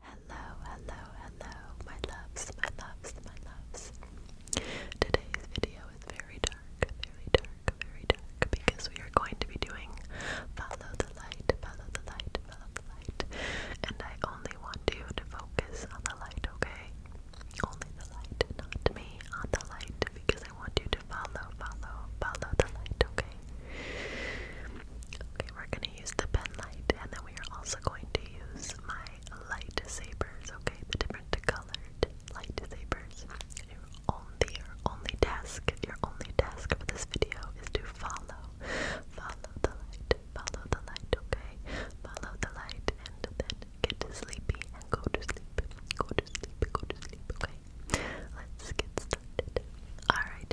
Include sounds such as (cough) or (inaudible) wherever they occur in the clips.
Hello, hello, hello, my loves, my loves, my loves. Today's video is very dark, very dark, very dark because we are going to be doing follow the light, follow the light, follow the light. And I only want you to focus on the light, okay? Only the light, not me, on the light because I want you to follow, follow, follow the light, okay? Okay, we're gonna going to use the pen light, and then we are also going to use my lightsabers, okay? The different colored lightsabers. Your only, your only task, your only task for this video is to follow, follow the light, follow the light, okay? Follow the light, and then get sleepy and go to sleep, go to sleep, go to sleep, okay? Let's get started. Alright,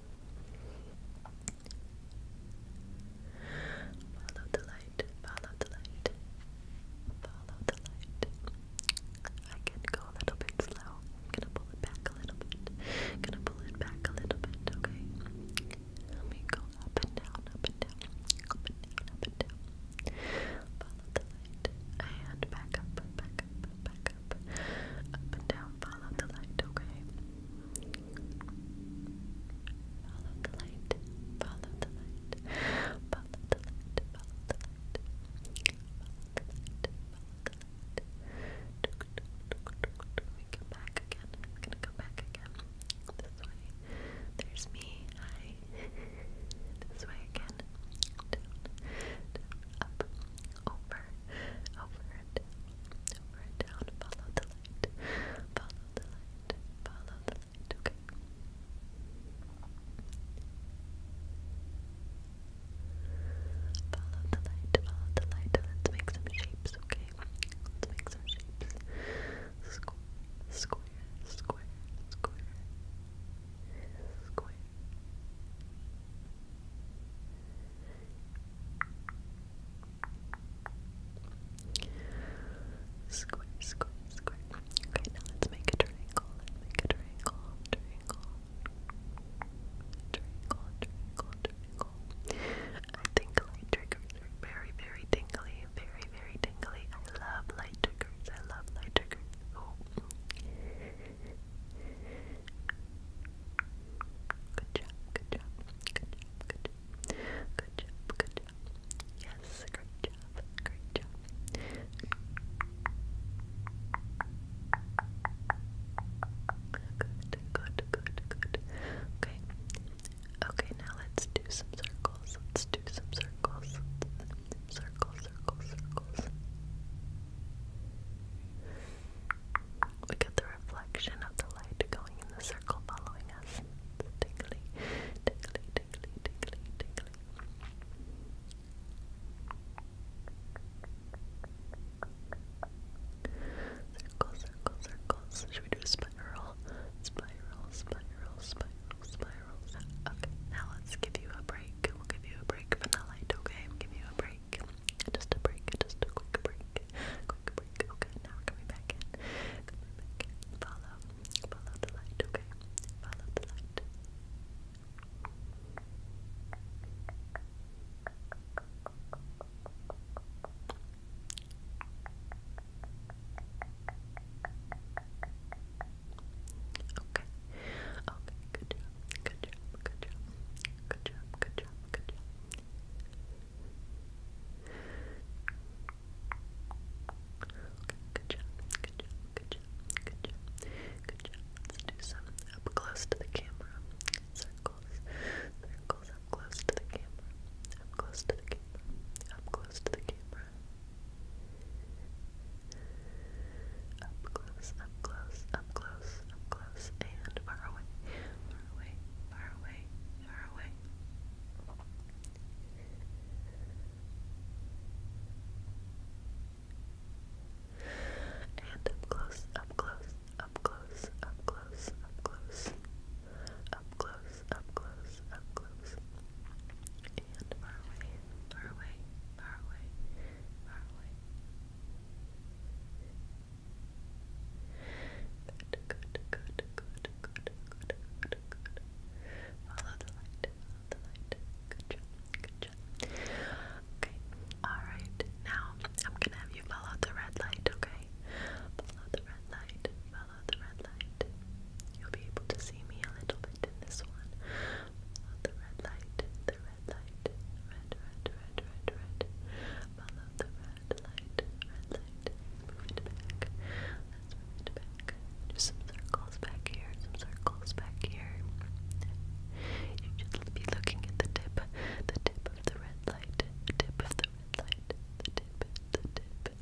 Follow the light, follow the light, follow the light. I can go a little bit slow. I'm gonna pull it back a little bit. gonna pull it back a little bit, okay? Let me go up and down, up and down, up and down, up and down. Follow the light. And back up, back up, back up, up and down, follow the light, okay? Follow the light, follow the light, follow the light, follow the light, follow the light, follow the light. We come back again, I'm gonna go back again, this way, there's me, hi, this way again, up, over, over, it down, follow the light, follow the light, follow the light, okay. Follow the light, follow the light, let's make some shapes, okay? Let's make some shapes. square, square, square, square. Square, Square, square, square. Okay, now let's make a triangle. make a triangle, triangle, triangle, triangle, triangle. I think light triggers very, very tingly, very, very tingly. I love light triggers. I love light triggers. Good job, good job, good job, good job. Good job, good job. Yes, great job, great job. Good, good, good, good. Okay. Okay, now let's do some circles. Let's do some circles. Circle, circle, circles. We get the reflection of the light going in the circle following us. It's tingly, tingly, tingly, tingly, tingly. Circle, circles. Should we do a spiral? Spiral, spiral, spiral, spirals. Okay, now let's give you a break. We'll give you a break from the light, okay? give you a break. Just a break, just a quick break. Quick break. Okay, now coming back in. Coming back in. Follow. Follow the light, okay? Follow the light. Okay. Okay, good job. Good job. Good job. Good job. Good job. Good job. Good job, good job, good job, good job, good job. Let's do some up close to the camera. Circles, circles up close to the camera. Up close to the camera. Up close to the camera. Up close, up close, up close, up close, close and far away, far away, far away, far away. And up close, up close, up close, up close, up close, up close, up close, up close, and far away, far away, far away, far away. Good, good, good, good, good, good, good, Follow the light, follow the light. Good good Okay, alright. Now I'm gonna have you follow the red light, okay? Follow the red light, follow the red light. You'll be able to see me a little bit in this one. Follow the red light, the light, red, red, red, red, red. Follow the red light, red light. Move it back. move it back. Just some circles back here, some circles back here. You should be looking at the tip, the tip of the red light, tip of the red light, the tip, the tip. The tip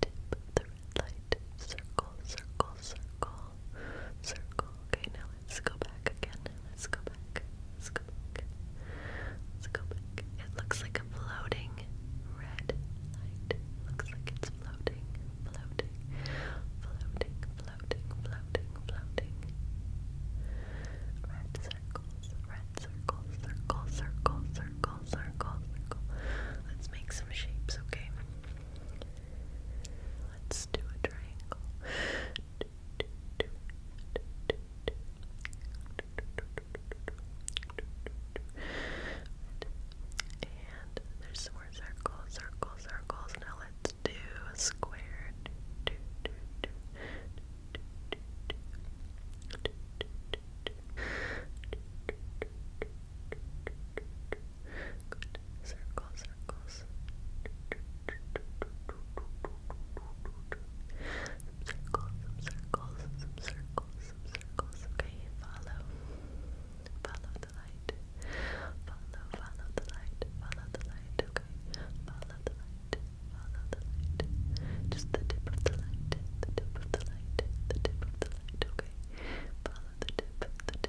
the red light. Circle, circle, circle circle. Okay, now let's go back again. Let's go back. Let's go back. Let's go back. It looks like a floating red light. Looks like it's floating, floating, floating, floating, floating, floating. Red circles, red circles, circle, circle, circle, circle, circle. Let's make some shapes, okay? Let's do a triangle. And there's some more circles, circles, circles. Now let's do a square. Circles, circles some circles, some circles, some circles. Okay, follow, follow the light, follow, follow the light, follow the light. Okay, follow the light, follow the light. Just the tip of the light, the tip of the light, the tip of the light. Okay, follow the tip, the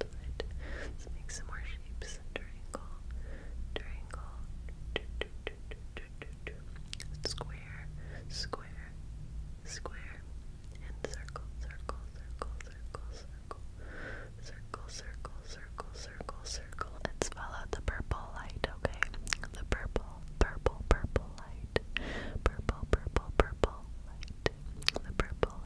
Let's make some more shapes. Triangle, triangle, do, do, do, do, do, do. square, square, square, and circle, circle, circle, circle, circle, circle, circle, circle, circle, circle. Let's follow the purple light, okay? The purple, purple, purple light. Purple, purple, purple light. The purple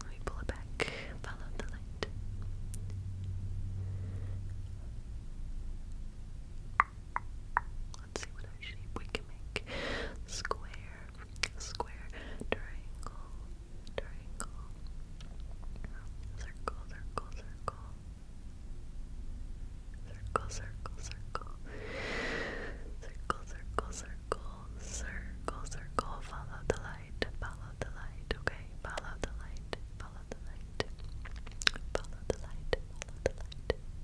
Let me pull it back. Follow the light. Let's see what shape we can make. Square, square, triangle, triangle, circle, circle, circle, circle, circle, circle, circle, circle, circle, circle, circle, follow the light, follow the light, okay? Follow the light, follow the light, follow the light, follow the light,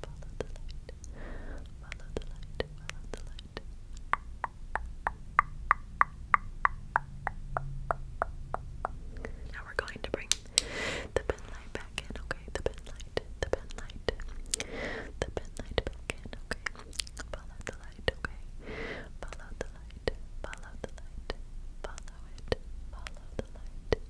follow the light, follow the light, follow the light. Now we're going to bring the pen light back in, okay? The pen light, the pen light, the pen light back in, okay? Follow the light, okay? Follow the light, follow the light, follow it, follow the light.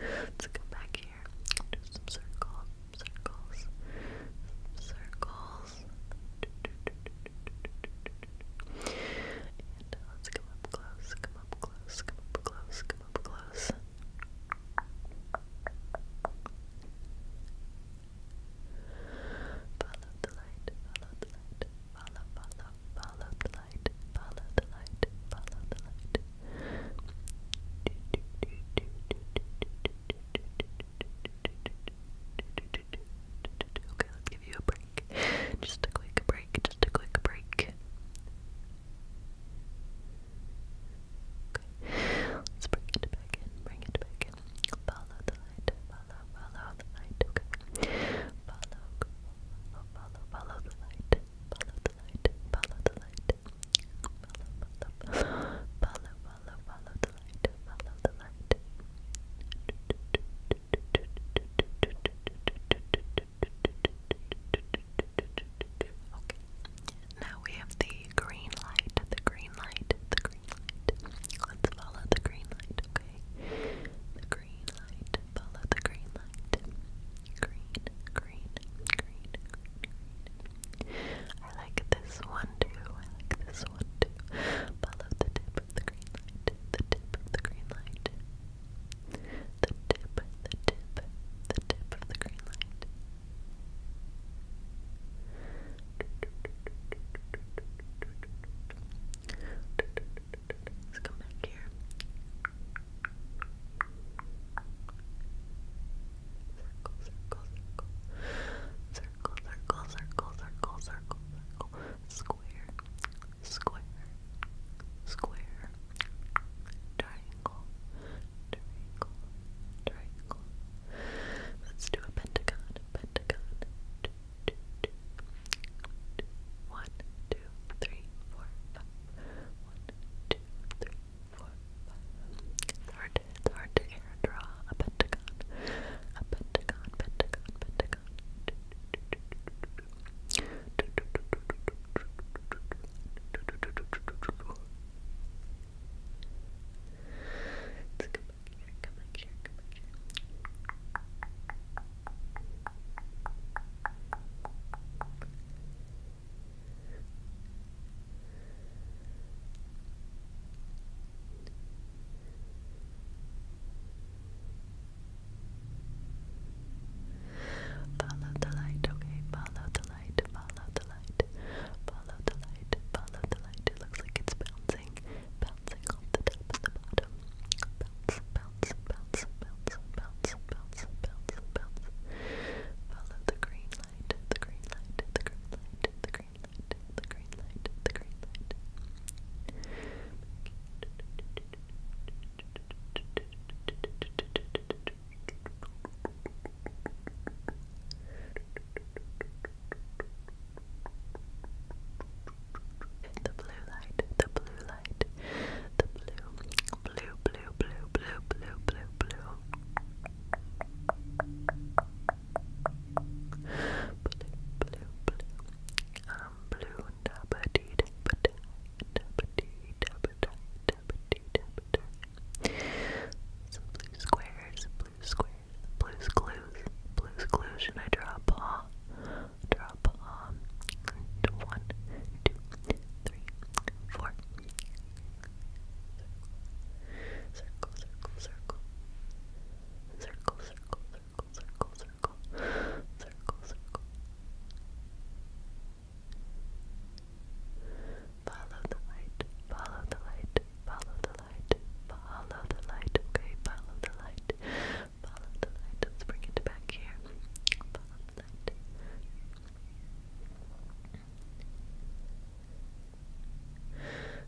Let's come back here. Do some circles, circles, circles. let's come up close, come up close, come up close, come up close. Follow the light, follow the light, follow, follow, follow the light, follow the light, follow the light. (laughs) Okay, let's give you a break. Just a quick break just a quick break. Let's bring it back in, bring it back in. Follow the light, follow, follow the light, Follow, follow, follow, the light, follow the light, follow the light. follow, follow, follow the light, follow the light. Okay. Now we have the green light, the green light, the green light. Let's follow the green light, okay? The green light, follow the green light. Green, green, green, I like this one too. I like this one too. Follow the tip of the green light, the tip of the green light. The tip, the tip, the tip of the green light. Let's come back here. Circle, circle, circle. Circle, circle, circle, circle, circle, circle. Square, square, square, triangle, triangle, triangle. Let's do a pentagon, pentagon. two, three, four, five. One, two, three, four, five. It's hard it's hard to draw a pentagon. A pentagon, pentagon, pentagon. Let's Follow the light, okay? Follow the light, follow the light, follow the light, follow the light. It looks like it's bouncing, bouncing off the top and the bottom. Bounce, bounce, bounce, bounce, bounce, bounce, bounce, bounce. Follow the green light, the green light, the green light, the green light, the green light, the green light. The blue light, the blue light, the blue, blue, blue, blue, blue, blue, blue, blue. Blue, blue, blue. Um, blue, dabba dee dabba die, dabba dee dabba die, tap two tap Some blue squares, blue clues, blues clues. Should I draw a paw? Draw a paw. One, two, three, four. Circle, circle, circle. Circle, circle, circle, circle, circle. Circle, Follow the light, follow the light, follow the light, follow the light, okay, follow the light, follow the light, let's bring it back here,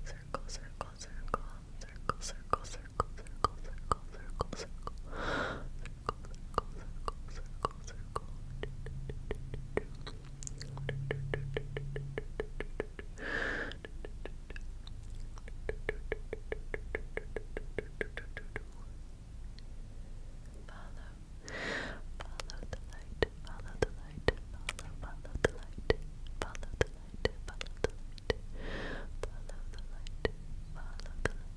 circle, circle, circle, circle, circle, circle, circle, circle, circle, circle, circle, circle, Follow, follow the light, follow the light, follow, follow the light, follow the light, follow the light, follow the light, follow the light.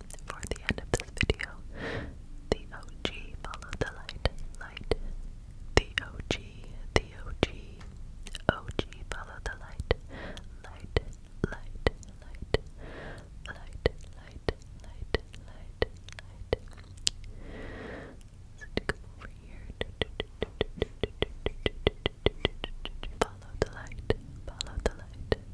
for the end of this video. The OG, follow the light, light. The OG, the OG, OG, follow the light, light, light, light, light, light, light, light, light. So to come over here, follow the light, follow the light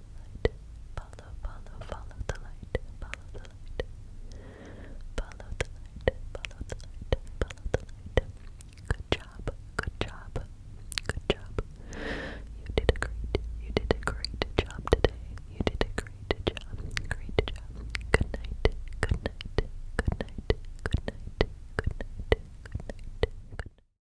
light. Follow, follow, follow the light. Follow the light. Follow the light. Follow the light. Follow the light. Good job. Good job. Good job. You did a great. You did a great job today. You did a great job. Great job. Good night. Good night. Good night. Good night. Good night. Good night. Good night. Good night.